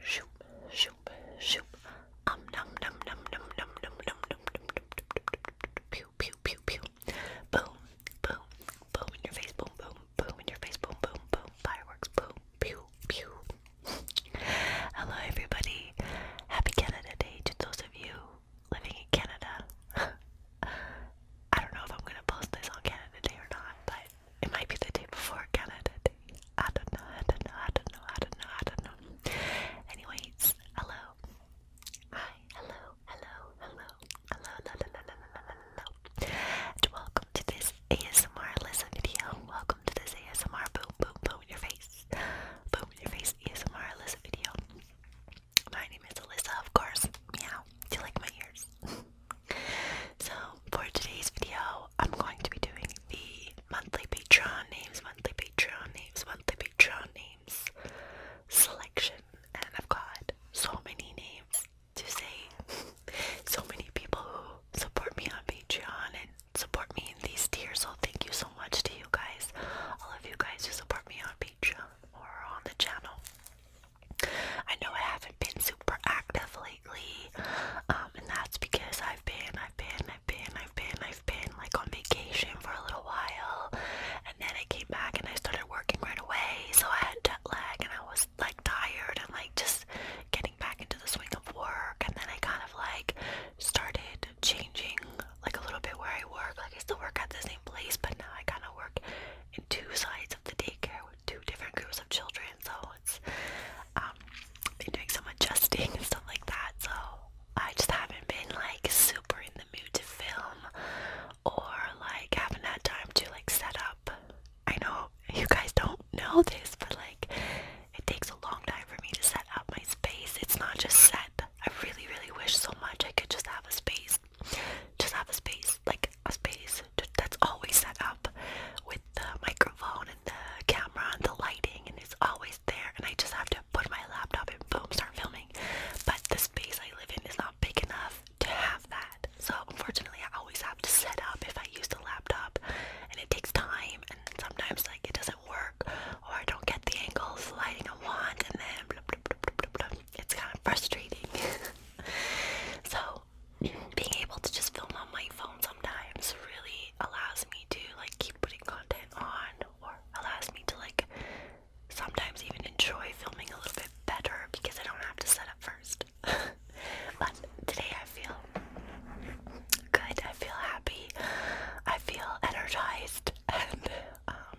Shoop, shoop, shoop. Um, num, num, num, num, num, num, num, num, num, pew, pew, pew, pew. Boom, boom, boom in your face, boom, boom, boom in your face, boom, boom, boom. Fireworks, boom, pew, pew. Hello, everybody. Happy Canada Day to those of you living in Canada. I don't know if I'm gonna post this on Canada Day or not, but it might be the day before Canada Day. I don't know, I don't know, I don't know, I don't know, I don't know. Anyways, hello. Hi, hello, hello, hello, hello, hello, hello, hello, hello, hello. And welcome to this ASMR listen video. Welcome to this ASMR boom, boom, boom in your face. Boom in your face ASMR listen video. My name is Alyssa, of course. Meow. Do you like my ears? so, for today's video, I'm going to be doing the monthly Patreon names, monthly Patreon names, monthly Patreon names selection. And I've got so many names to say. so many people who support me on Patreon and support me in these tiers. So, thank you so much to you guys, all of you guys who support me on Patreon or on the channel. I know I haven't been super active lately, um, and that's because I've been, I've been, I've been, I've been, I've been like on vacation for a little while, and then I came back and I started working right away, so I had jet lag and I was like tired and like just getting back into the swing of work, and then I kind of like started changing like a little bit where I work. Like I still work at the same place, but now I kind of work and two sides of the daycare with two different groups of children. So it's um, been doing some adjusting and stuff like that. So I just haven't been like super in the mood to film or like haven't had time to like set up. I know you guys don't know this, but like it takes a long time for me to set up my space. It's not just set. I really, really wish so much I could just have a space just just have a space, like a space to, that's always set up with the microphone and the camera and the lighting, and it's always there. And I just have to put my laptop and boom, start filming. But the space I live in is not big enough to have that. So unfortunately, I always have to set up if I use the laptop, and it takes time. And sometimes like it doesn't work, or I don't get the angles, the lighting I want, and then blah, blah, blah, blah, blah, blah it's kind of frustrating. so, being able to just film on my phone sometimes really allows me to like keep putting content on or allows me to like sometimes even enjoy filming a little bit better because I don't have to set up first. but today I feel good, I feel happy, I feel energized, and um,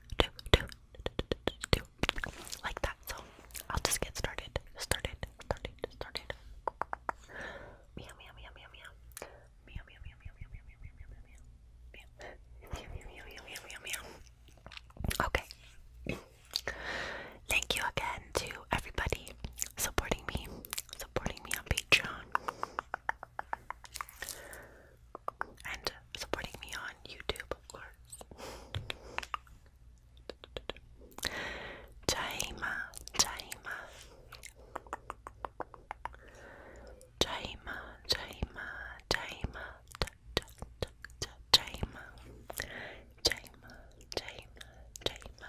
do, do, do, do, like that. So I'll just get started. Started, started, started. Meow, meow, meow, meow, meow. Meow, meow, meow, meow, meow, meow, meow, meow, meow, meow. Okay. Thank you again to everybody supporting me, supporting me on Patreon and supporting me on YouTube, of course. Taima, Taima, Taima, Taima, Taima, Taima, Taima, Taima, Taima,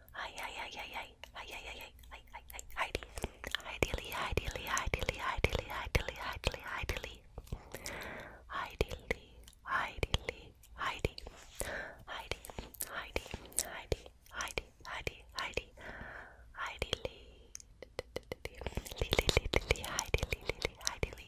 Hi, hi, hi, hi, hi, hi, hi, hi, hi, hi, hi, Heidi. Heidi, Heidi, Heidi, Heidi, Heidi, Heidi, Heidi, Heidi, Heidi, Heidi, Heidi, Heidi, Heidi, Heidi, Heidi, Heidi, Heidi, Heidi, Lily, Lily, Lily, Heidi, Lily, Heidi, Lily,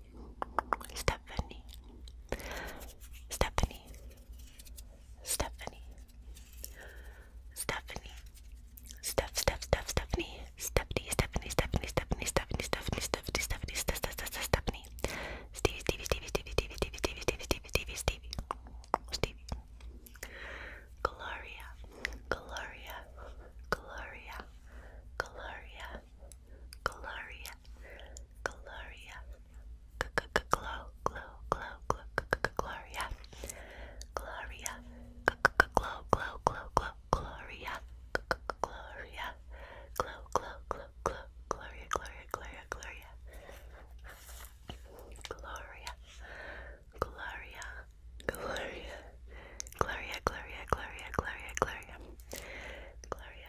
Stephanie, Stephanie, Stephanie, Stephanie, Steph, Steph, Steph, Stephanie, Stephanie, Stephanie, Stephanie, Stephanie, Stephanie, Stephanie, Stephanie, Stephanie, Stephanie, Stephanie, Stevie, Stevie, Stevie, Stevie, Stevie, Stevie, Stevie, Stevie, Stevie, Stevie, Stevie, Gloria, Gloria, Gloria, Gloria, Gloria, Gloria, glow, glow, glow, glow, Gloria, Gloria, glow, glow, glow, glow, Gloria, Gloria, glow, glow, glow, glow, Gloria, Gloria, Gloria, Gloria, Gloria, Gloria, Gloria, Gloria, Gloria, Gloria,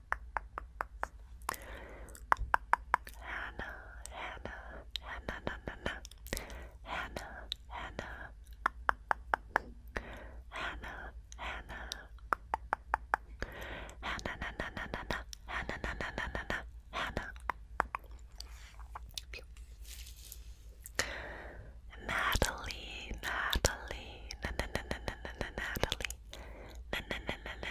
Hannah, Hannah, Hannah, Hannah, Hannah, Hannah, Hannah, Hannah, Hannah, Hannah, Hannah, Hannah, Hannah, Natalie, Natalie, Natalie, Natalie, Natalie, Natalie, Natalie,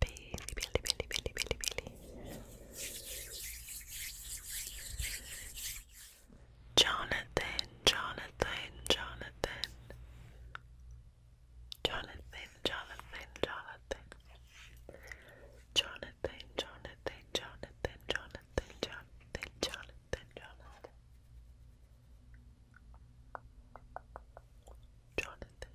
Bailey, Bailey, Bailey, Bailey, Bailey, Bailey. Jonathan, Jonathan, Jonathan. Jonathan, Jonathan, Jonathan. Jonathan, Jonathan, Jonathan, Jonathan, Jonathan, Jonathan, Jonathan. Jonathan,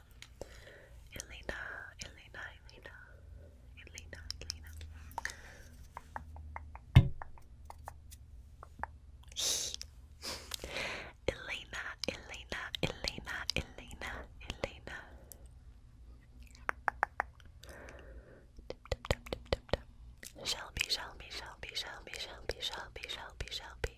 Elena, Elena, Elena, Elena, Elena. Elena, Elena, Elena, Elena, Elena. Tip, tip, tip, tip, tip, tip. Shelby, Shelby, Shelby, Shelby, Shelby, Shelby, Shelby, Shelby.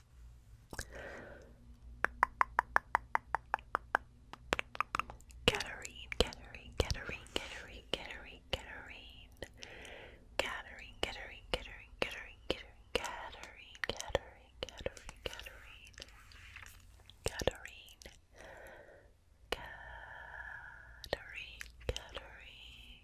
Katarine, Katarine, Katarine, Katarine, Katarine, Katarine, Katarine, Katarine, Katarine, Katarine, Katarine, Katarine, Katarine, Katarine, Katarine, Katarine, Katarine, Katarine,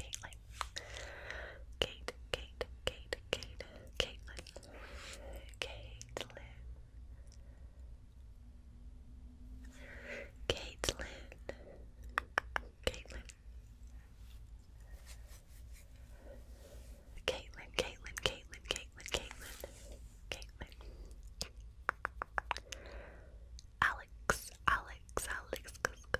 Caitlin. Kate, Kate, Kate, Kate, Caitlin. Caitlin. Caitlin. Caitlin. Caitlin, Caitlin, Caitlin, Caitlin, Caitlin, Caitlin. Alex, Alex, Alex,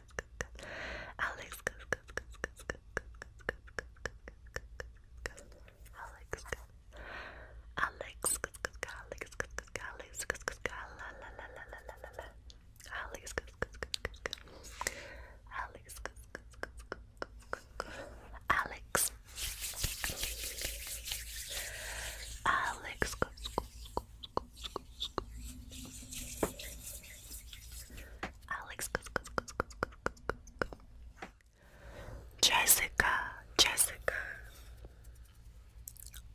Alex, Alex, Alex, Alex, Alex, Alex, Alex, Alex, Alex, Alex Jessica Jessica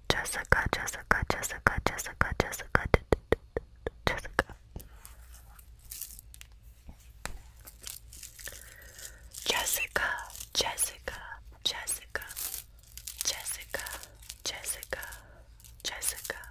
Jessica Jessica Jessica Jessica Jessica Jessica Jessica Jessica Jessica Jessica Jessica Jessica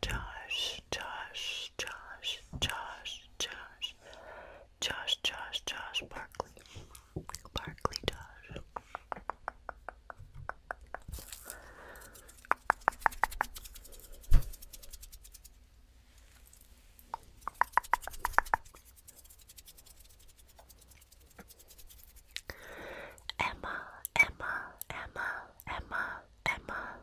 Josh, Josh, Josh, Josh, Josh, Josh, Josh, Josh, Barkley, Barkley, Josh. Emma, Emma, Emma, Emma, Emma,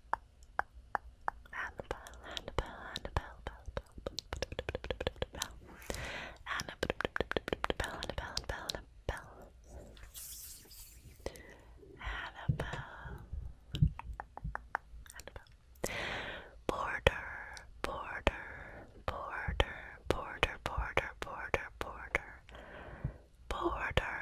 Annabelle, Annabelle, Annabelle, Annabelle, Annabelle, Annabelle, Annabelle, Annabelle, Annabelle, border, border, border, border, border, border, border, border,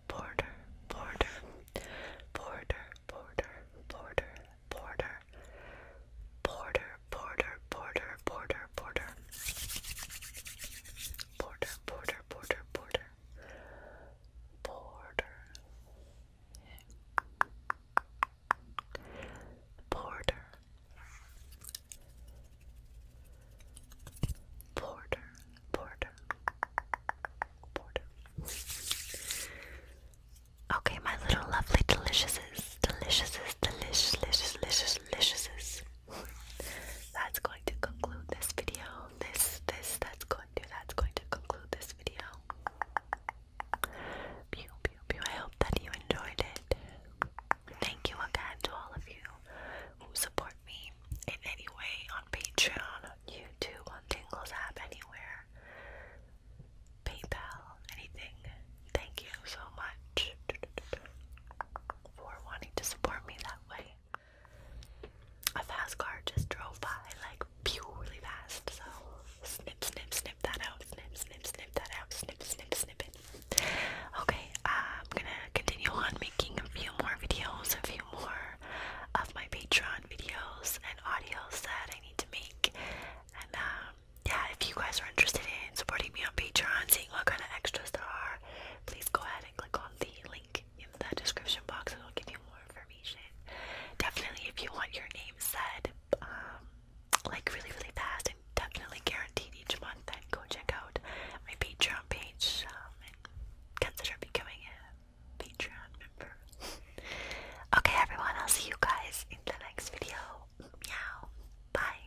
border, border, border, border, border, border, border, border, border, border, border, border, border, border, border, border. Border, border, Porter. Porter. Okay, my little lovely deliciouses, deliciouses, delicious, delicious, deliciouses. That's going to conclude this video. This, this, that's going to, that's going to conclude this video. Pew, pew, pew. I hope that you enjoyed it. Thank you again to all of you who support me in any way on Patreon, you YouTube, on Tingles app, anywhere, PayPal, anything. Thank you so much for wanting to support me that way. A fast car just drove by, like, really fast. So, snip, snip, snip that out. Snip, snip, snip that out. Snip, snip, snip it. Okay, I'm gonna continue on making a few more videos of you more of my Patreon videos and audios that I need to make. And um, yeah, if you guys are interested in supporting me on Patreon, seeing what kind of extras there are, please go ahead and click on the link in the description box. It'll give you more information. Definitely, if you want your name said, um, like really, really fast and definitely guaranteed each month, then go check out my Patreon page. Um, consider becoming a Patreon member. okay, everyone, I'll see you guys in the next video. Meow. Bye.